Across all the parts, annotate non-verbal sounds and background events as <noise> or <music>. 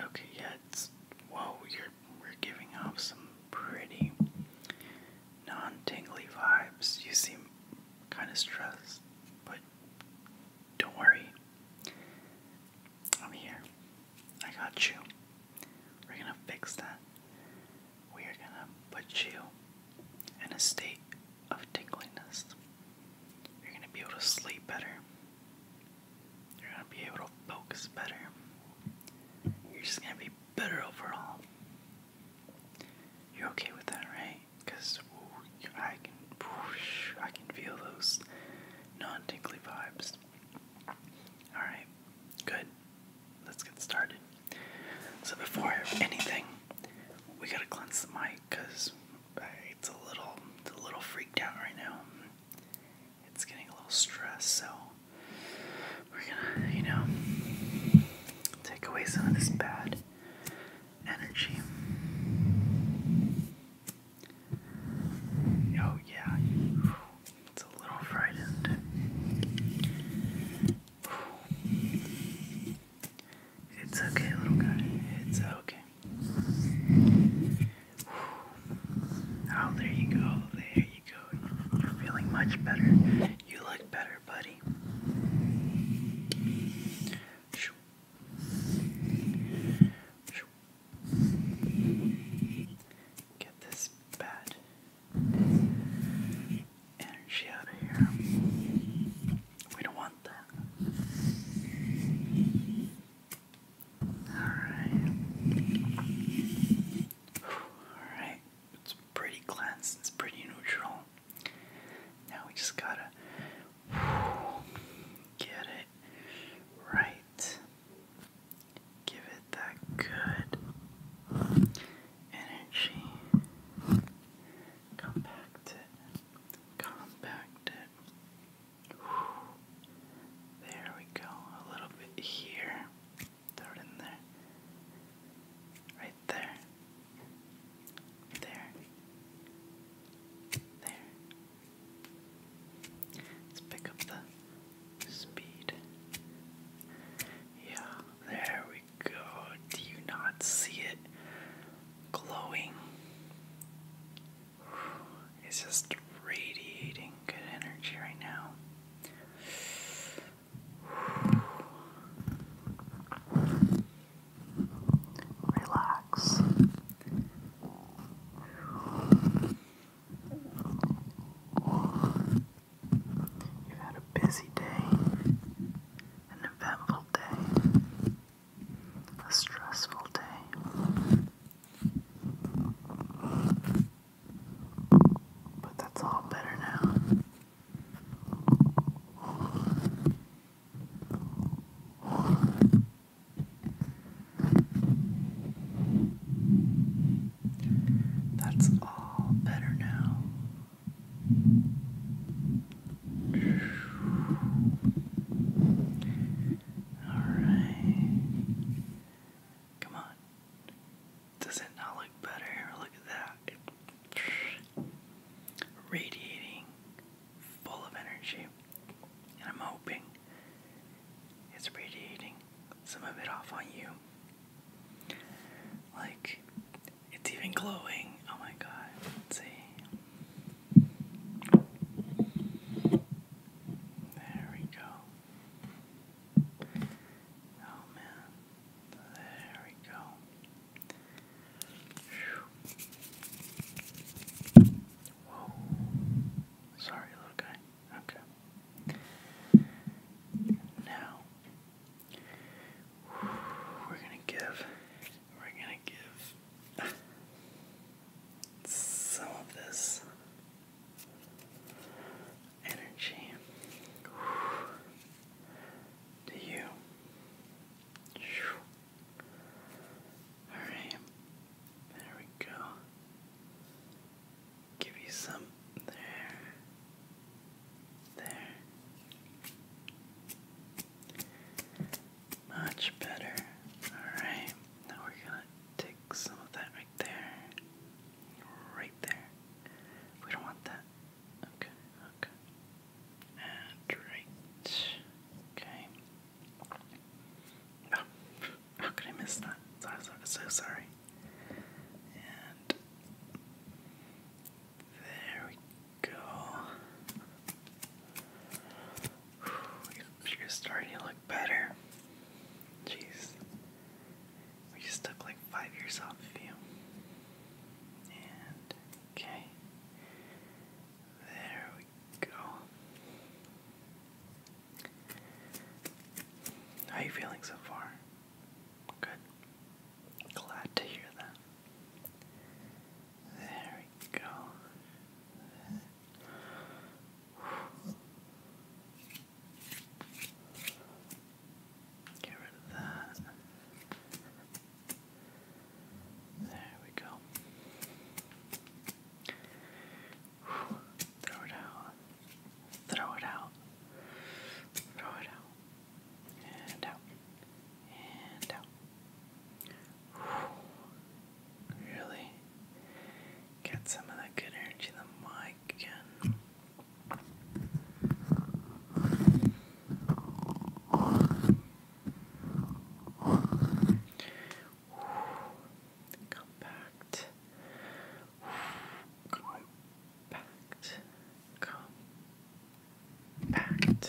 Okay, yeah, whoa, you're we're giving off some pretty non-tingly vibes. You seem kinda stressed, but don't worry. I'm here. I got you. We're gonna fix that. We are gonna put you in a state of tingliness. You're gonna be able to sleep better. You're gonna be able to focus better. You're just gonna be better overall. You're okay with that, right? Cause I can, whoosh, I can feel those non-tingly vibes. All right, good. Let's get started. So before anything, we gotta cleanse the mic, cause it's a little, it's a little freaked out right now it's getting a little stressed, so we're gonna, you know, take away some of this bad energy. Oh, yeah, it's a little frightened. It's okay, little guy. It's okay. Oh, there you go. There you go. You're feeling much better. You look better, buddy. Get this bad energy out of here. We don't want that. Alright. Alright. It's pretty cleansed, it's pretty neutral. Now we just gotta get it right. Give it that good energy. Compact it. Compact it. There we go. A little bit here. Throw it in there. Right there. There. There. Let's pick up the speed. Yeah, there we go. Do you not see it glowing? It's just radiating good energy right now. Relax. You've had a busy day, an eventful day a stressful day. But that's all better now. That's all better now. Alright. Come on. Does it not look better? Look at that. radiating, full of energy. And I'm hoping it's radiating some of it off on you. Like, it's even glowing. Oh my god. Let's see. There we go. Oh man. There we go. Whoa. Sorry, little guy. Okay. Now we're gonna give. We're gonna give some of this energy <sighs> to you. <sighs> Alright, there we go. Give you some there. There. Much better. Alright, now we're gonna take some of that right there. Right there. We don't want that. Okay, okay. And right. Okay. Oh, how could I miss that? so sorry. And there we go. You're starting to look better. Jeez. We just took like five years off of you. And, okay. There we go. How are you feeling so far? Good. Glad to hear that. There we go. Get rid of that. There we go. Throw it out. Throw it out. Throw it out. And out. And out. Really get some of that good energy in the mic again. Compact, compact, compact.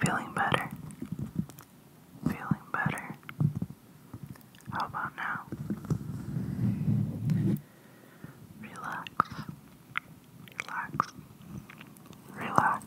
Feeling better. Feeling better. How about now? Relax. Relax. Relax.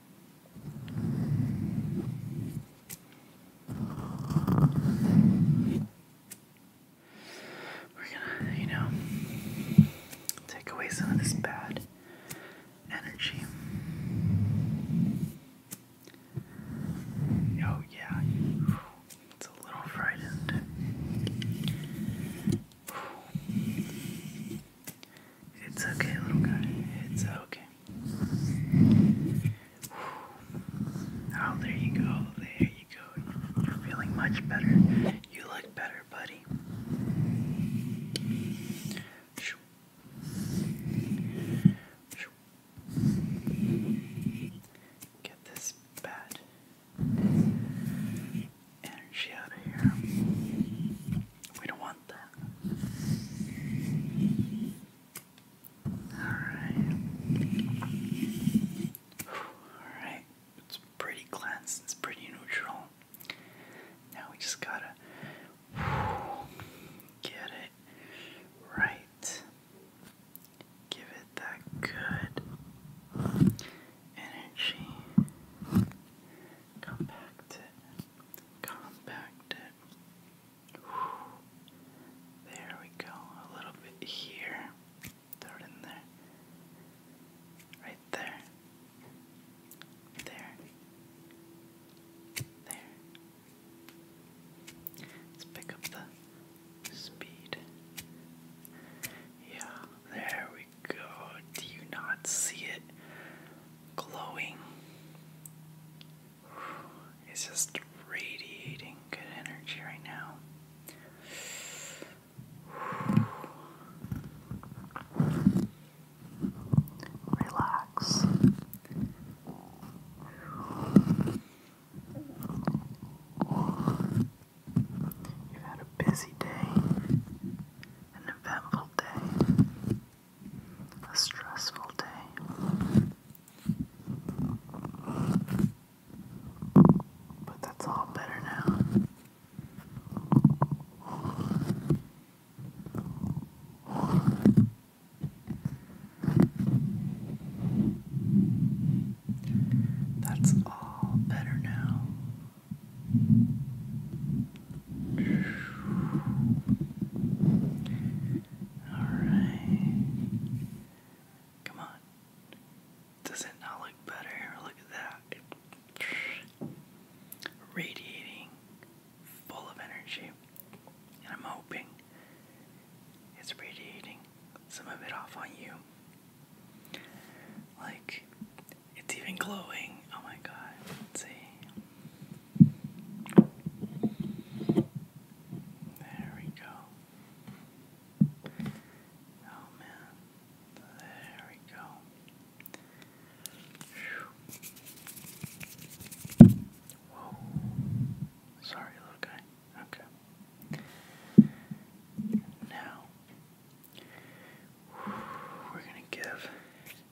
We're gonna, you know, take away some of this bad energy. Oh, yeah, it's a little frightened. It's okay, little guy. It's okay. Oh, there you go. There you go. You're feeling much better. You look better, buddy. Get this bad energy out of here. We don't want that. Alright. Alright. It's pretty cleansed, it's pretty neutral. Now we just gotta get it right. Give it that good energy. Compact it. Compact it. There we go. A little bit here. Throw it in there. Right there. There. There. Let's pick up the speed. Yeah, there we go. Do you not see it glowing? It's just radiating good energy right now. Relax. You've had a busy day, an eventful day a stressful day. But that's all better now. That's all better now. Alright. Come on. Does it not look better? Look at that. radiating, full of energy. And I'm hoping it's radiating some of it off on you. Like, it's even glowing. Oh my god. Let's see. There we go. Oh man. There we go. Whoa. Sorry, little guy. Okay. Now, we're going to give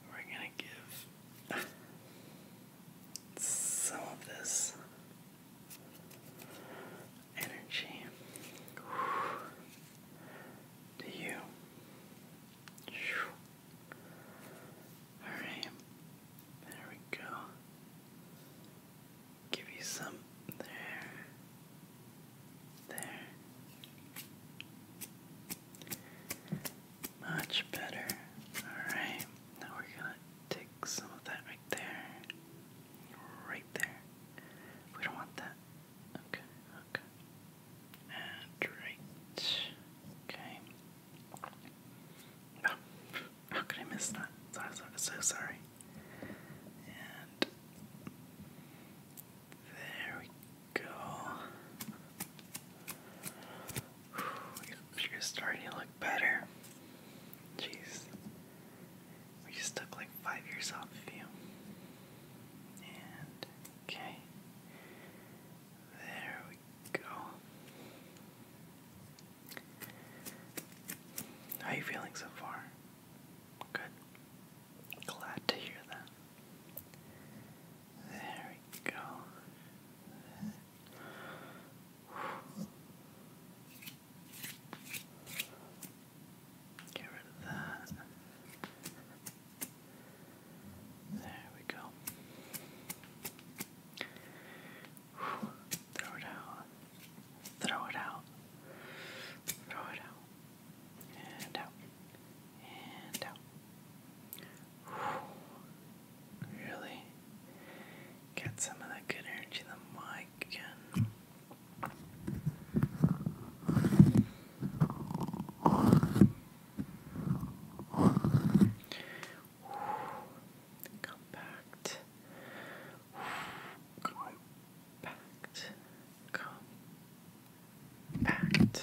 we're gonna give some of this energy to you. Alright, there we go. Give you some there, there, much better. Alright, now we're gonna take some of that right there. Right there. We don't want that. Okay, okay. And right. Okay. Oh, how could I miss that? so sorry. And there we go. You're starting to look better. Jeez. We just took like five years off of you. And, okay. There we go. How are you feeling so far? Good. Glad to hear that. There we go. Get rid of that. There we go. Throw it out. Throw it out. Throw it out. And out. And out. <sighs> Really get some of that good energy in the mic again. <sighs> <sighs> Compact, compact, compact.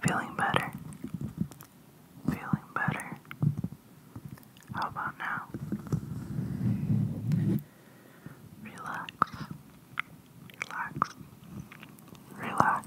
Feeling better. Feeling better. How about now? Relax. Relax. Relax.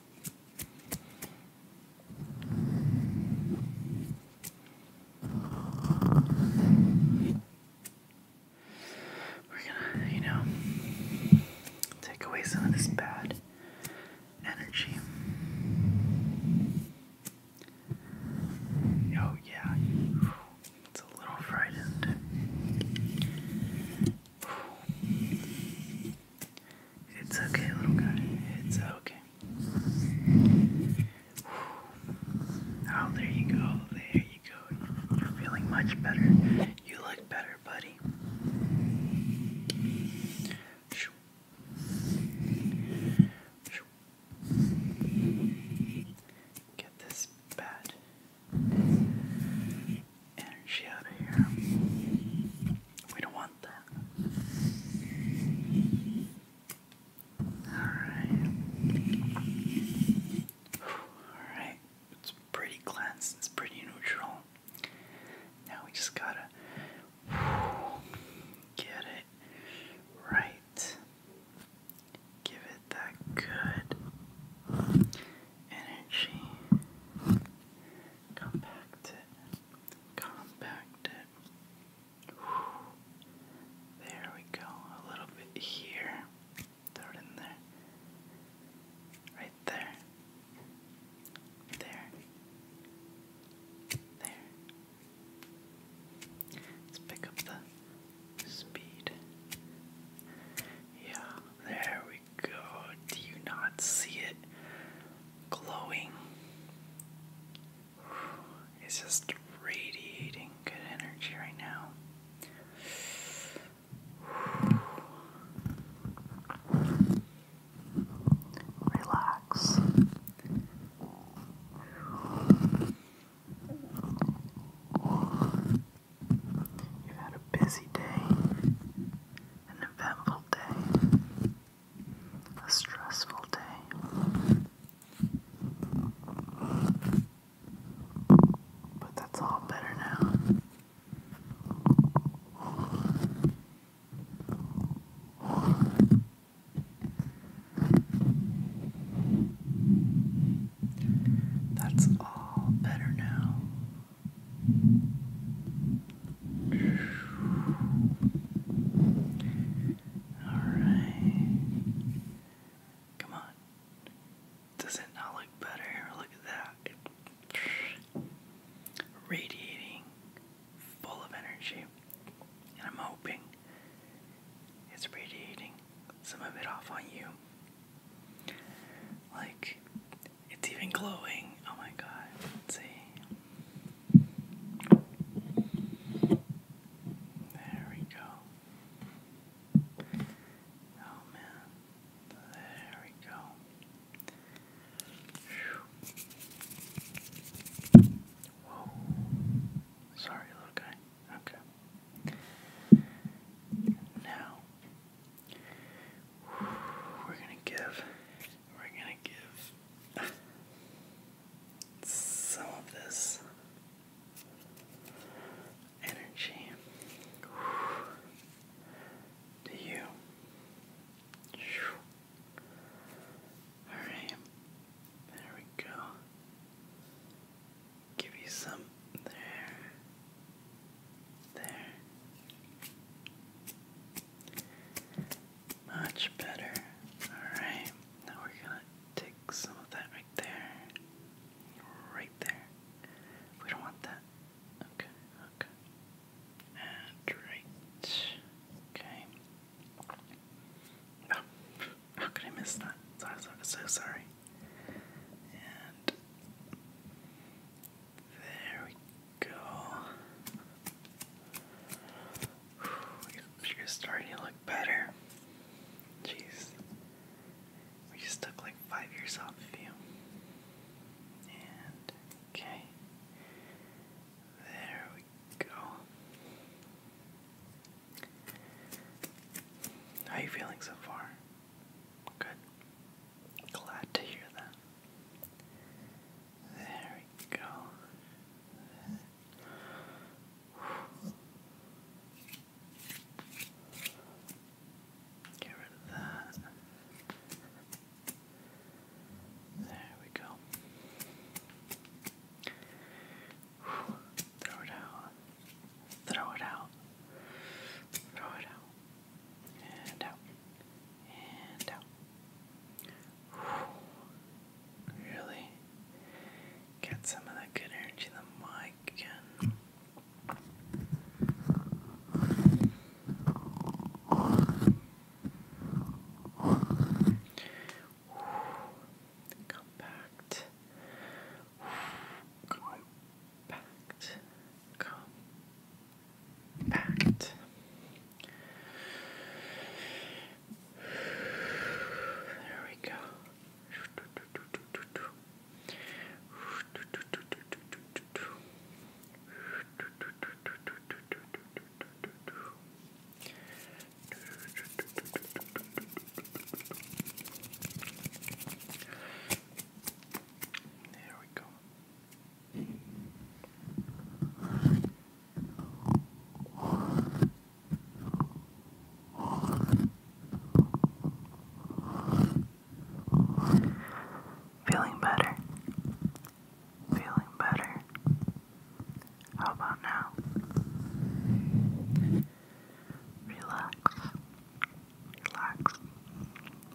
We're gonna, you know, take away some of this bad energy. Oh, yeah, it's a little frightened. It's okay, little guy. It's okay. Oh, there you go. There you go. You're feeling much better. You look better, buddy. Get this bad energy out of here. We don't want Alright. Alright. It's pretty cleansed, it's pretty neutral. Now we just gotta get it right. Give it that good energy. Compact it compact it. There we go. A little bit here. Throw it in there. Right there. There. There. Let's pick up the speed. Yeah, there we go. Do you not see it? glowing. It's just radiating good energy right now. Relax. You've had a busy day, an eventful day. A stressful day. But that's all better now. That's all better now. Alright. Come on. Does it not look better? Look at that. radiating, full of energy. And I'm hoping it's radiating some of it off on you. Like, it's even glowing. Oh my god. Let's see. There we go. Oh man. There we go. Whoa. Sorry, little guy. Okay. Now, we're going to give we're going to give some of this energy to you. Alright, there we go. Give you some there, there, much better. Alright, now we're gonna take some of that right there. Right there. We don't want that. Okay, okay. And right. Okay. Oh, how could I miss that? So, so, sorry. And there we go. You're starting to look better. Jeez. We just took like five years off of you. And, okay. There we go. How are you feeling so far? Good. Glad to hear that. There we go. Get rid of that. There we go. Throw it out. Throw it out. Throw it out. And out. And out. Really get some of that good energy in the mic again. Compact, compact, compact, Back. There we go. There we go. Feeling better. Feeling better. How about now? Relax. Relax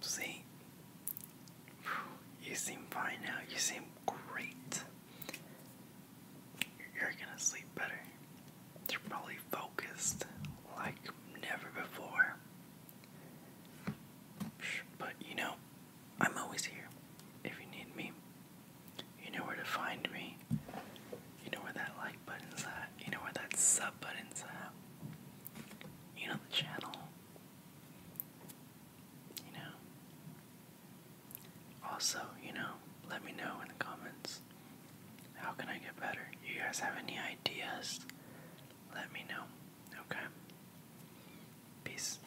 See? You seem fine now. You seem great. You're gonna sleep better. You're probably focused like never before. But you know, I'm always here. If you need me, you know where to find me. You know where that like button's at. You know where that sub button's at. You know the channel. You know. Also, you know, let me know in the comments. How can I get better? You guys have any ideas? Let me know. Okay. Peace.